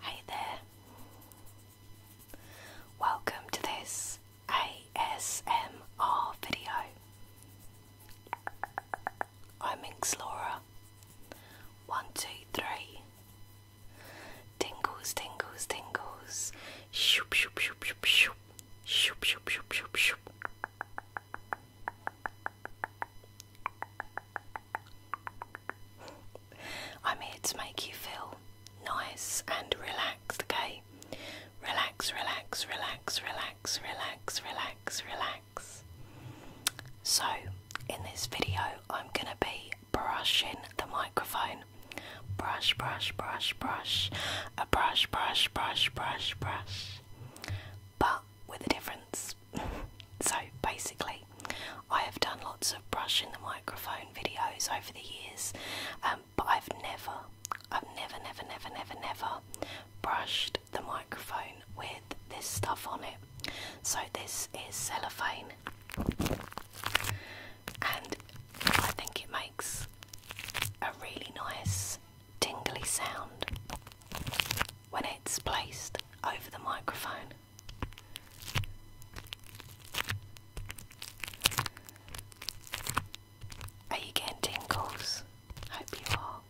Hi there. Welcome to this ASMR video. I'm Inxlora. One, two, three. Tingles, tingles, tingles. Shoop, shoop, shoop, shoop, shoop. Shoop, shoop, shoop, shoop, shoop. I'm here to make you feel nice and relaxed, okay? Relax, relax, relax, relax, relax, relax, relax. So, in this video, I'm gonna be brushing the microphone. Brush, brush, brush, brush. A brush, brush, brush, brush, brush. But with a difference so basically, I have done lots of brush in the microphone videos over the years, um, but I've never, I've never, never, never, never, never brushed the microphone with this stuff on it. So this is cellophane, and I think it makes a really nice tingly sound when it's placed over the microphone. Are you getting tingles? Hope you are.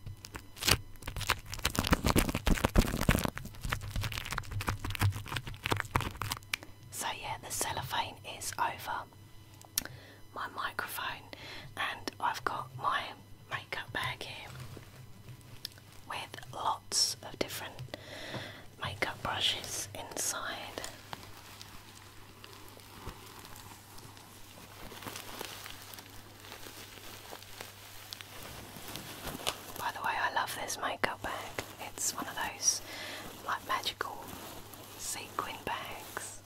So, yeah, the cellophane is over my microphone, and I've got my makeup bag here with lots of different makeup brushes inside. By the way, I love this makeup bag. It's one of those like magical sequin bags.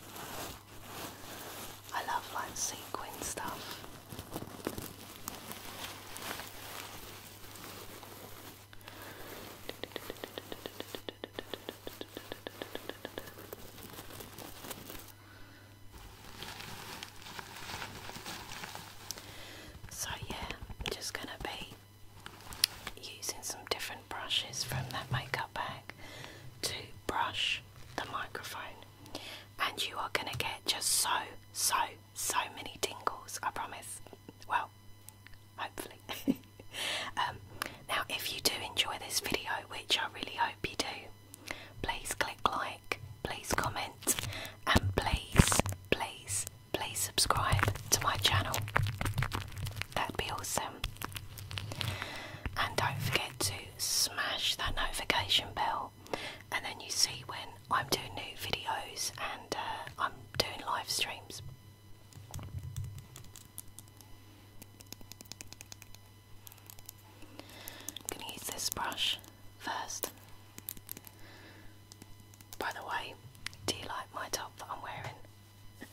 I love like sequin stuff. So, yeah, I'm just going to be using some different brushes from that makeup bag to brush the microphone and you are going to get just so, so, so many tingles, I promise. Well, hopefully. Um, now, if you do enjoy this video, which I really hope you do, please click like, please comment, and please, please, please subscribe to my channel. That'd be awesome. And don't forget to smash that notification bell, and then you see when I'm doing new videos and uh, I'm doing live streams. I'm going to use this brush first. By the way, do you like my top that I'm wearing?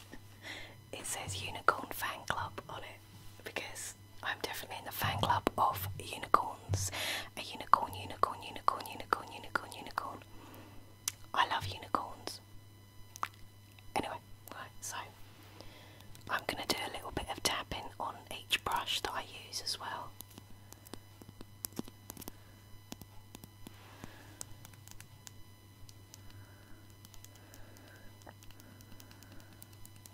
it says Unicorn Fan Club on it because I'm definitely in the fan club of unicorns. A unicorn, unicorn, unicorn, unicorn, unicorn, unicorn. I love unicorns. Anyway, right, so I'm going to do a little bit of tapping on each brush that I use as well.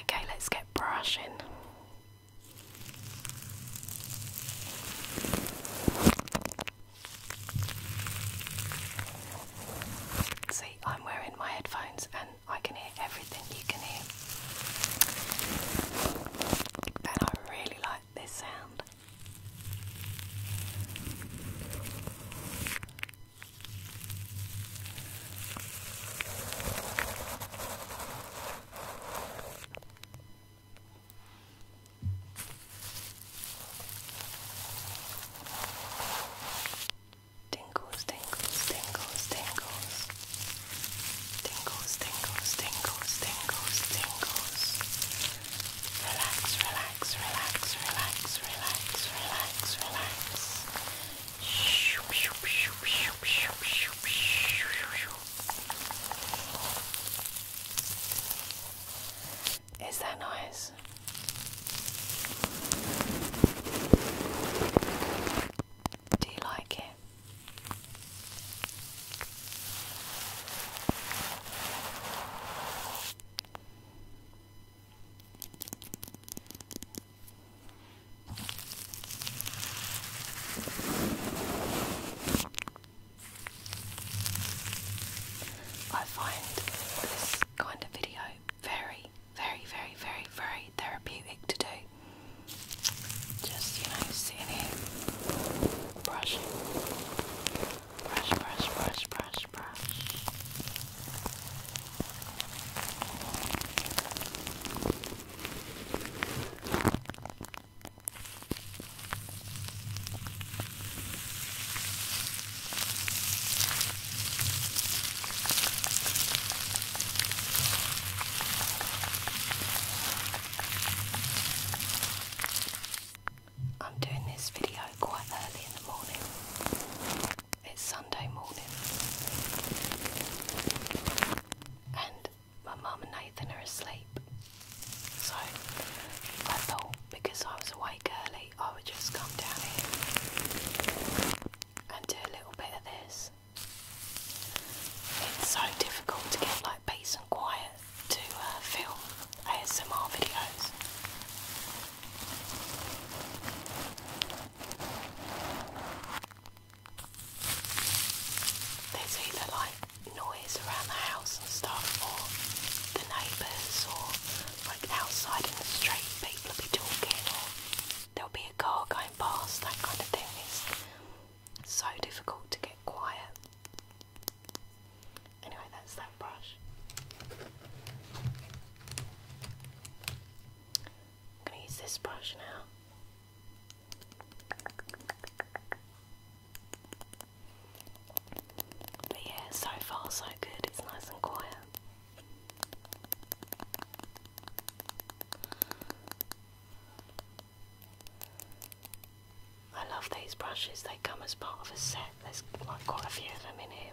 Okay, let's get brushing. See, I'm wearing my headphones and I can hear everything you can hear. And I really like this sound. Tingles, tingles, tingles, tingles. Tingles, tingles, tingles, tingles, tingles. Relax, relax, relax, relax, relax, relax, relax. Is that noise? Do you like it? I find this kind of video very, very, very, very, very therapeutic to do. Just, you know, sitting here brushing. Brush, brush, brush, brush, brush. I'm doing this video quite early in the morning it's Sunday morning, and my mum and Nathan are asleep. So I thought because I was awake early, I would just come down here and do a little bit of this. It's so difficult to get like peace and quiet to uh, film ASMR videos. There's either like noise around the house and stuff or the neighbours or like outside in the street people will be talking or there'll be a car going past, that kind of thing. It's so difficult to get quiet. Anyway, that's that brush. I'm going to use this brush now. But yeah, so far so good, it's nice and quiet. I love these brushes, they come as part of a set. There's quite a few of them in here.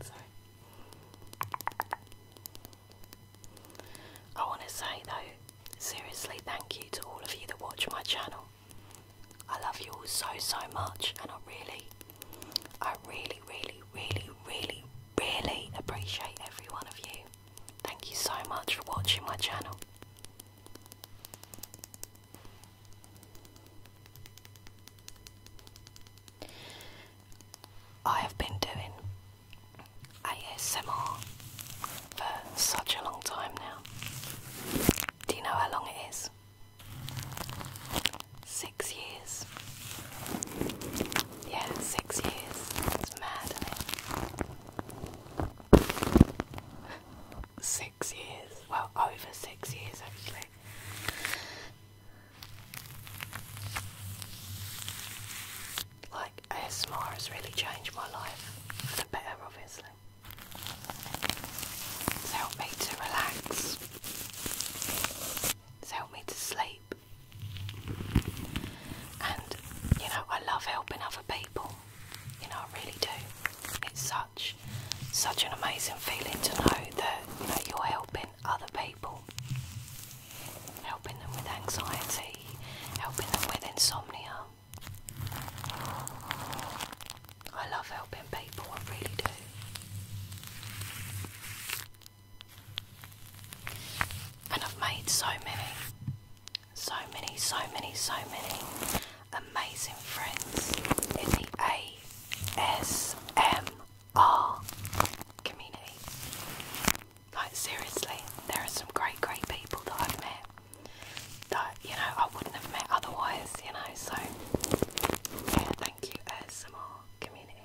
Sorry. I want to say though, seriously, thank you to all of you that watch my channel. I love you all so, so much, and I really, I really, really, really, really, really appreciate every one of you. Thank you so much for watching my channel. I have been doing ASMR for such a long time now. Do you know how long it is? Six years. Yeah, six years. It's mad, Six six years. Well, over six years actually. Like, ASMR has really changed my life for the better, obviously. It's helped me to relax, it's helped me to sleep, and you know, I love helping other people. You know, I really do. It's such, such an amazing feeling to know that you know you're helping other people, helping them with anxiety, helping them with insomnia. I love helping people. I really do. And I've made so many, so many, so many, so many amazing friends in the ASMR community. Like, seriously, there are some great, great people that I've met that, you know, I wouldn't have met otherwise, you know, so yeah, thank you, ASMR community.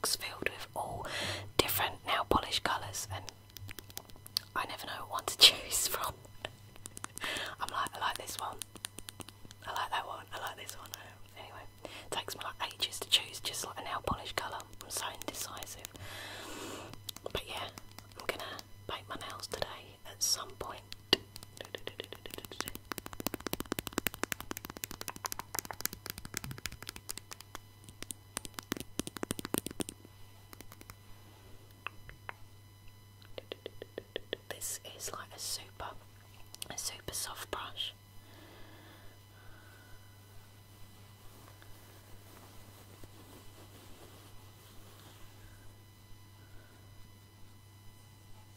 box filled with all different nail polish colours, and I never know what to choose from. I'm like, I like this one, I like that one, I like this one. Anyway, it takes me like ages to choose just like a nail polish colour. I'm so indecisive. But yeah, I'm gonna paint my nails today at some point. This is like a super, a super soft brush.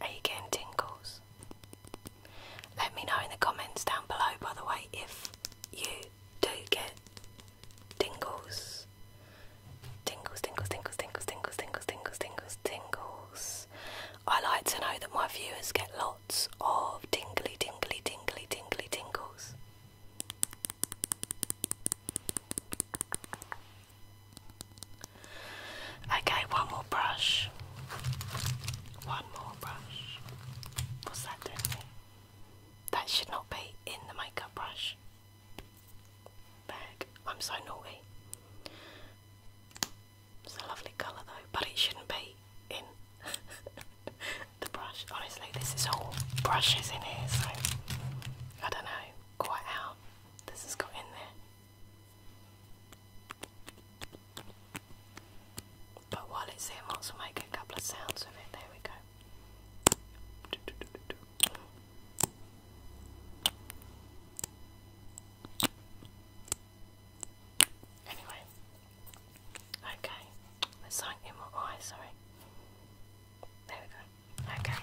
Are you getting tingles? Let me know in the comments down below, by the way, if you do get tingles. Tingles, tingles, tingles, tingles, tingles, tingles, tingles, tingles, tingles. I like to know that my viewers get lots of tingly, tingly, tingly, tingly tingles. Okay, one more brush. One more brush. What's that doing That should not be in the makeup brush bag. I'm so naughty. It's a lovely colour though, but it shouldn't be in the brush. Honestly, this is all brushes in here, so I don't know quite how this has got in there. But while it's in, let's make a couple of sounds with it. There we go. Anyway, okay, there's something in my eye, sorry. There we go. Okay,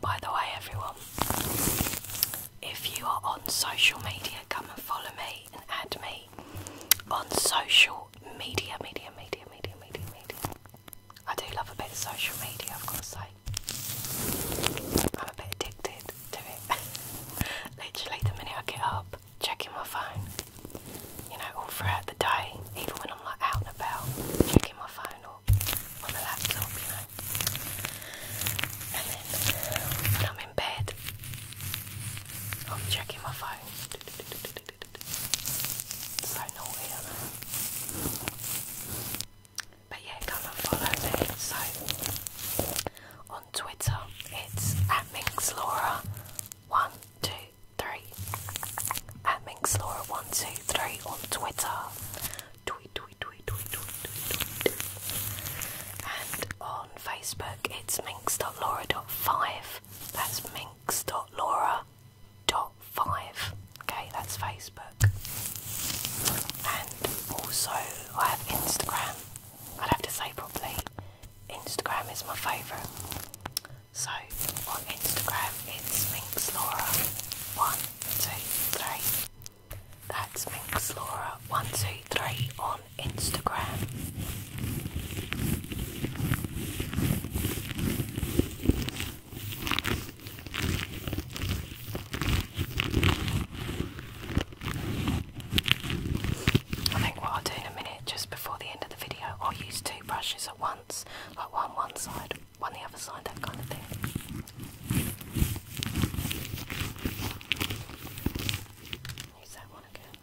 By the way, everyone, if you are on social media, come and follow me and add me on social media, media, media, media, media, media. I do love a bit of social media, I've got to say. I'm a bit addicted to it. Literally, the minute I get up, checking my phone. You know, all throughout the day, even when I'm like out and about, checking my phone or on the laptop, you know. And then when I'm in bed, I'm checking my phone. So no But yeah, come and follow me. So on Twitter, it's at Minxlaura123. At Minxlaura123 on Twitter. Tweet, tweet, tweet, tweet, tweet, tweet, tweet. And on on Facebook, it's minx.laura.5that's minx.laura.5. Okay, that's Facebook. And also, I have Instagram. I'd have to say probably Instagram is my favourite. So, on Instagram, it's minxlaura123. That's minxlaura123 on I think what I'll do in a minute, just before the end of the video, I'll use two brushes at once, like one one side, one the other side, that kind of thing. Use that one again.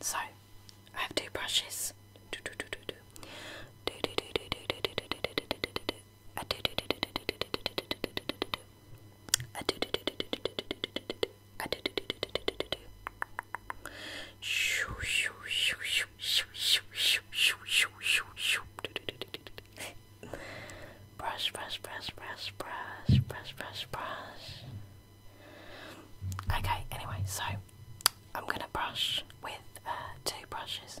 So, I have two brushes. Brush, brush, brush, brush, brush, brush, brush, brush. Okay, anyway, so I'm gonna brush with uh, two brushes.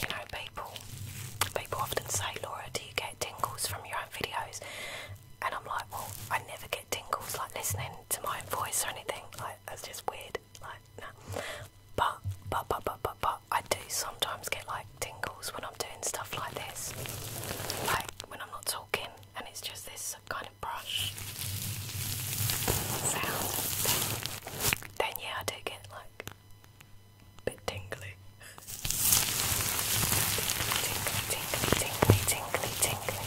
you know, people people often say, Laura, do you get tingles from your own videos? And I'm like, well, I never get tingles like listening to my own voice or anything. Like that's just weird. Like no. But but but but but but I do sometimes get like tingles when I'm doing stuff like this. Like when I'm not talking and it's just this kind of brush sound. Then, yeah I do get like bit tingly. Tingly, tingly, tingly, tingly, tingly, tingly.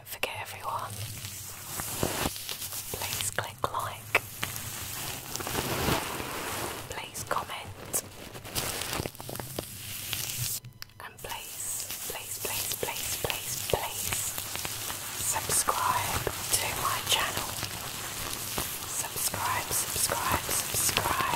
don't forget everyone. Please click like. Please comment. And please, please, please, please, please, please subscribe to my channel. Subscribe, subscribe, subscribe.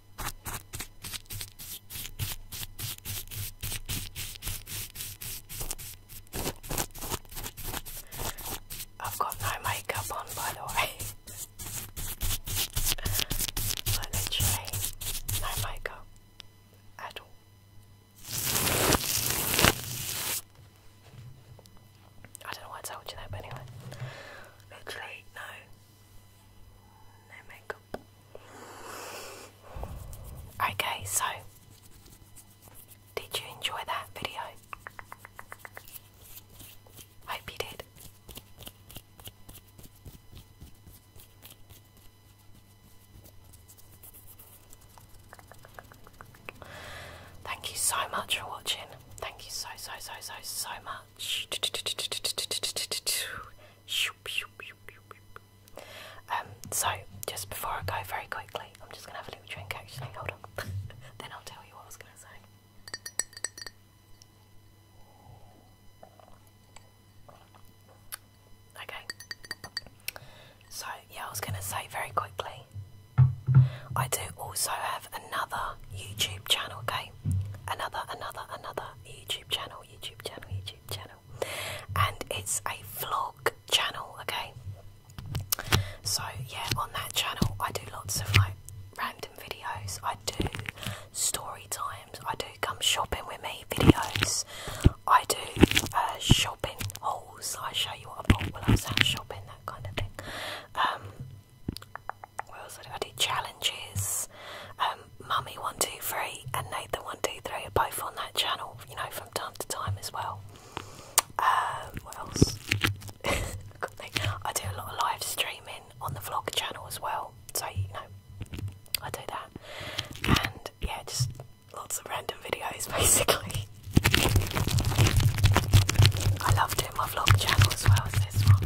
I've got no makeup on, by the way. literally no makeup at all. I don't know why I told you that, but anyway, literally no Okay, so did you enjoy that video? Hope you did. Thank you so much for watching. Thank you so, so, so, so, so much. Um, so, just before I go, very quickly, I'm just gonna have a little drink actually. Hold on, then I'll tell you what I was gonna say. Okay, so yeah, I was gonna say very quickly, I do also have another YouTube channel, okay? another, another, another YouTube channel, YouTube channel, YouTube channel, and it's a vlog channel, okay? So, yeah, on that channel, I do lots of like random videos, I do story times, I do come shopping with me videos, I do uh, shopping hauls, I show you what I bought while I was out shopping, that kind of thing. Um, we I do challenges, um, Mummy one two three and Nathan one two three are both on that channel, you know, from time to time as well. Uh, what else? I do a lot of live streaming on the vlog channel as well, so you know, I do that, and yeah, just lots of random videos basically. I loved it my vlog channel as well as this one.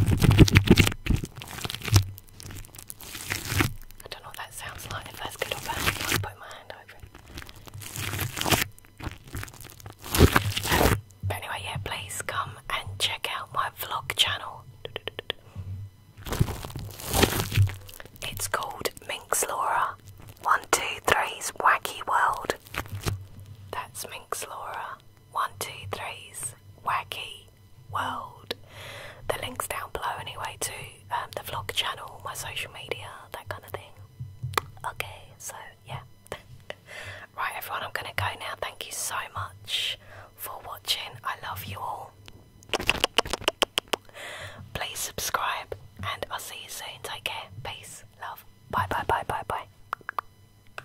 I don't know what that sounds like, if that's good or bad, put my hand over but anyway, yeah, please come and check out my vlog channel. It's called Minx Laura. One, two, three's Wacky World. That's Minx Laura. One, Two Three's wacky world. The link's down below anyway to um, the vlog channel, my social media, that kind of thing. Okay, so yeah. right, everyone, I'm gonna go now. Thank you so much for watching. I love you all. Please subscribe, and I'll see you soon. Take care. Peace, love. Bye, bye, bye, bye, bye.